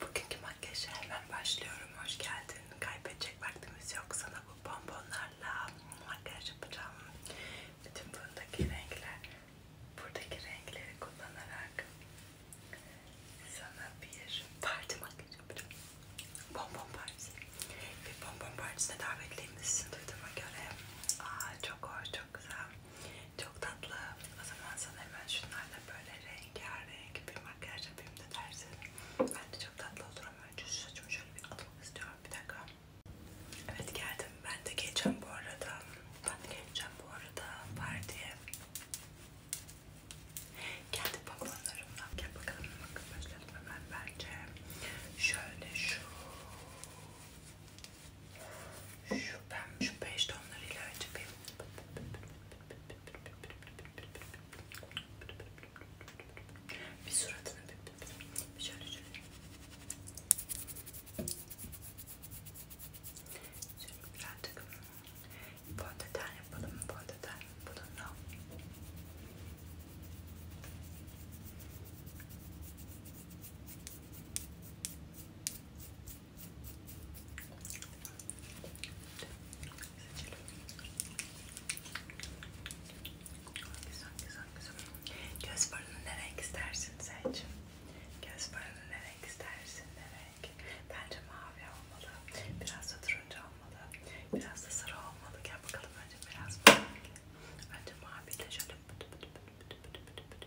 Bugünkü makyajı hemen başlıyorum. Hoş geldin. Kaybedecek vaktimiz yok. Sana bu bonbonlarla makyaj yapacağım. Bütün buradaki renkler, buradaki renkleri kullanarak sana bir parti makyajı yapacağım. Bonbon partisi. Bir bonbon partisine davetliymişsin duyduğuma göre. Aa, çok hoş, çok güzel. Çok tatlı. O zaman sana hemen şunlarla böyle rengarenk bir makyaj yapayım da dersin. Bence çok tatlı olur ama önce şu saçımı şöyle bir atmak istiyorum. Bir dakika. Evet geldim. Ben de geleceğim bu arada. Ben de geleceğim bu arada partiye. Kendi balonlarımla. Gel bakalım. Bakın başladım hemen bence. Şöyle şu şu ben şu beş tonları ilave yapayım. Bir suratını bir şöyle şöyle. Şimdi birazcık fondöten yapalım. Fondöten bununla. Güzel güzel güzel. Göz farını ne renk istersin seç? Göz farını ne renk istersin? Ne renk? Bence mavi olmalı. Biraz da turuncu olmalı. Biraz da sarı olmalı. Gel bakalım önce biraz mavi. Önce mavi de şöyle pıtı pıtı pıtı pıtı pıtı pıtı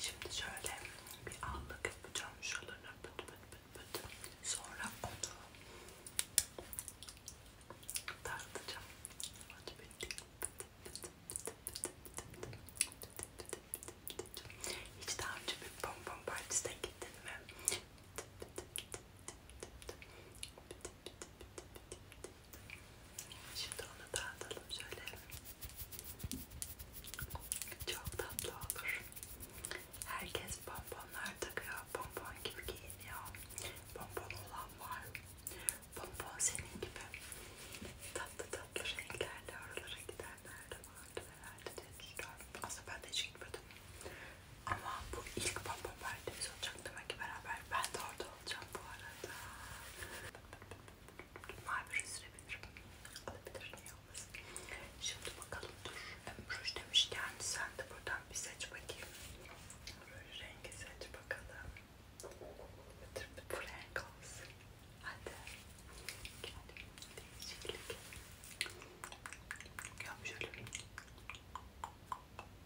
Şimdi şöyle bir allık yapacağım şuralarına pıt pıt pıt pıt. Sonra onu tartacağım. Hadi bitti. Hiç daha önce bir bonbon partisine gittin mi? Şimdi onu dağıtalım şöyle. Çok tatlı olur. Herkes bonbonlar takıyor. Bonbon gibi giyiniyor. Bonbon olan var. Bonbon senin gibi. Tatlı tatlı renklerle oralara gidenler de vardı herhalde diye düşünüyorum. Aslında ben de hiç gitmedim. Ama bu ilk bonbon verdiğimiz olacak demek ki beraber. Ben de orada olacağım bu arada. Mavi ruj sürebilirim. Alabilir yalnız. Şimdi bakalım dur. Ruj demişken sen de buradan bir seç bakayım. Ruj rengi seç bakalım. Bu renk olsun. Hadi. Gel. Değişiklik. Yap şöyle.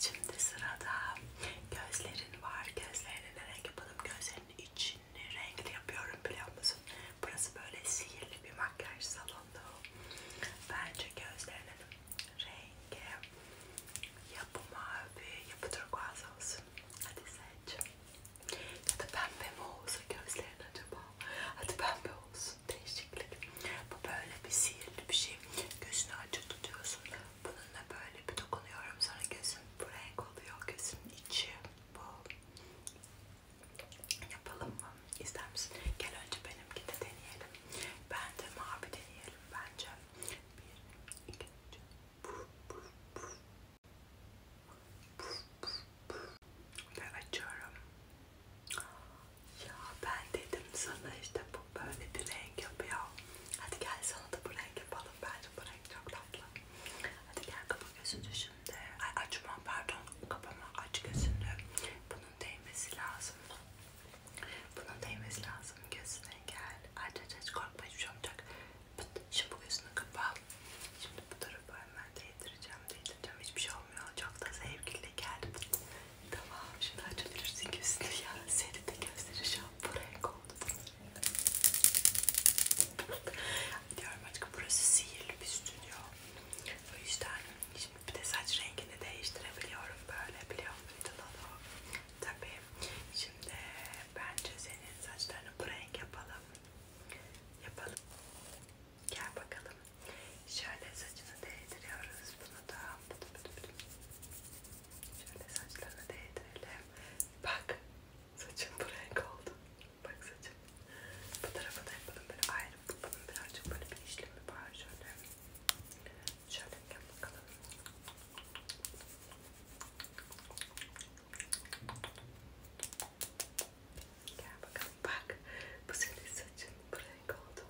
Şimdi sırada gözlerin var. Gözlerini ne renk yapalım? Gözlerinin içini renkli yapıyorum biliyor musun? Burası böyle sihirli bir makyaj salonu. Bence gözlerinin rengi yapı mavi, yapı turkuaz olsun. Hadi seç. Ya da pembe mi olsa gözlerin acaba? Hadi pembe olsun olsun değişiklik. Bu böyle bir sihirli bir şey. Gözünü açık tutuyorsun. Bununla böyle bir dokunuyorum. Sonra gözün bu renk oluyor. Gözün içi bu. Yapalım mı? İster misin? Gel önce benimki de deneyelim. Ben de mavi deneyelim bence. Bir, iki, üç. Puf, puf, puf. Puf, puf, puf. Ve açıyorum. Ya ben dedim sana işte bu böyle bir renk yapıyor. Hadi gel sana da bu renk yapalım. Bence bu renk çok tatlı. Hadi gel kapa gözünü şimdi. Ay açma pardon. Kapama aç gözünü. Bunun değmesi lazım. Bunun değmesi lazım gözüne gel. Aç aç aç korkma hiçbir şey olmayacak. Şimdi bu gözünü kapa. Şimdi bu tarafa hemen değdireceğim, değdireceğim. Hiçbir şey olmuyor. Çok da zevkli geldi. Tamam, şimdi açabilirsin gözünü ya. Seni de gözleri şampuanı oldu. Diyorum aşkım burası sihirli bir stüdyo. O yüzden şimdi bir de saç rengini değiştirebiliyorum böyle biliyor muydun onu? Tabii. Şimdi bence senin saçlarını bu renk yapalım. Yapalım. Gel bakalım. Şöyle saçını değdiriyoruz. Bunu da şöyle saçlarını değdirelim. Bak saçın bu renk oldu. Bak saçın. Bu tarafa da yapalım böyle ayrı. Bunun birazcık böyle bir işlemi var şöyle. Şöyle gel bakalım. Gel bakalım bak. Bu senin saçın renk oldu.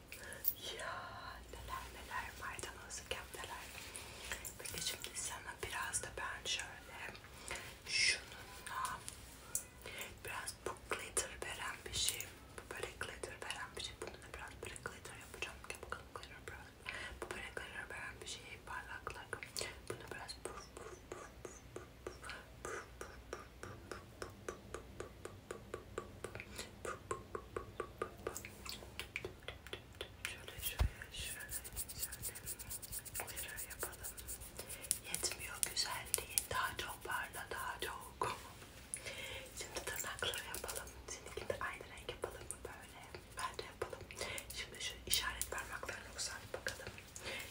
Ya neler neler maydanozluk yaptılar. Peki şimdi sana biraz da ben şöyle şununla biraz bu glitter veren bir şey. Bu böyle glitter veren bir şey. Bununla biraz böyle glitter yapacağım. Gel bakalım glitter biraz. Bu böyle glitter veren bir şey parlaklık. Bunu biraz puf puf puf puf puf Şöyle şöyle şöyle şöyle yapalım. Yetmiyor güzelliği. Daha çok parla, daha çok. Şimdi tırnakları yapalım. Seninkini de aynı renk yapalım mı böyle? Bence yapalım. Şimdi şu işaret parmaklarını uzat bakalım.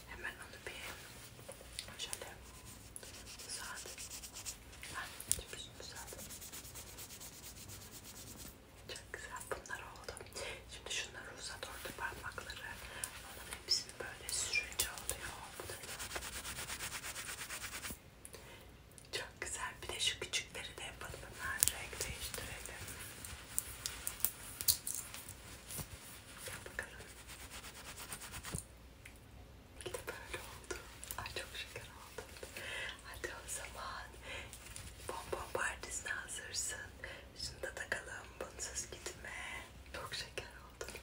Hemen onu bir şöyle uzadım. Ben şimdi uzadım. Çok güzel bunlar oldu. Şimdi şunları uzat orta parmakları. Onun hepsini böyle sürünce oluyor. Bu da çok güzel. Bir de şu küçükleri de yapalım. Hemen renk değiştirelim. Gel bakalım. İyi de böyle oldu. Ay çok şeker oldu. Hadi o zaman bonbon partisine hazırsın. Şunu da takalım. Bunsuz gitme. Çok şeker oldun.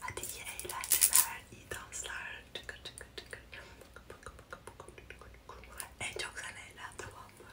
Hadi iyi eğlenceler, iyi danslar. Çıkır çıkır çıkır. En çok sen eğlen tamam mı?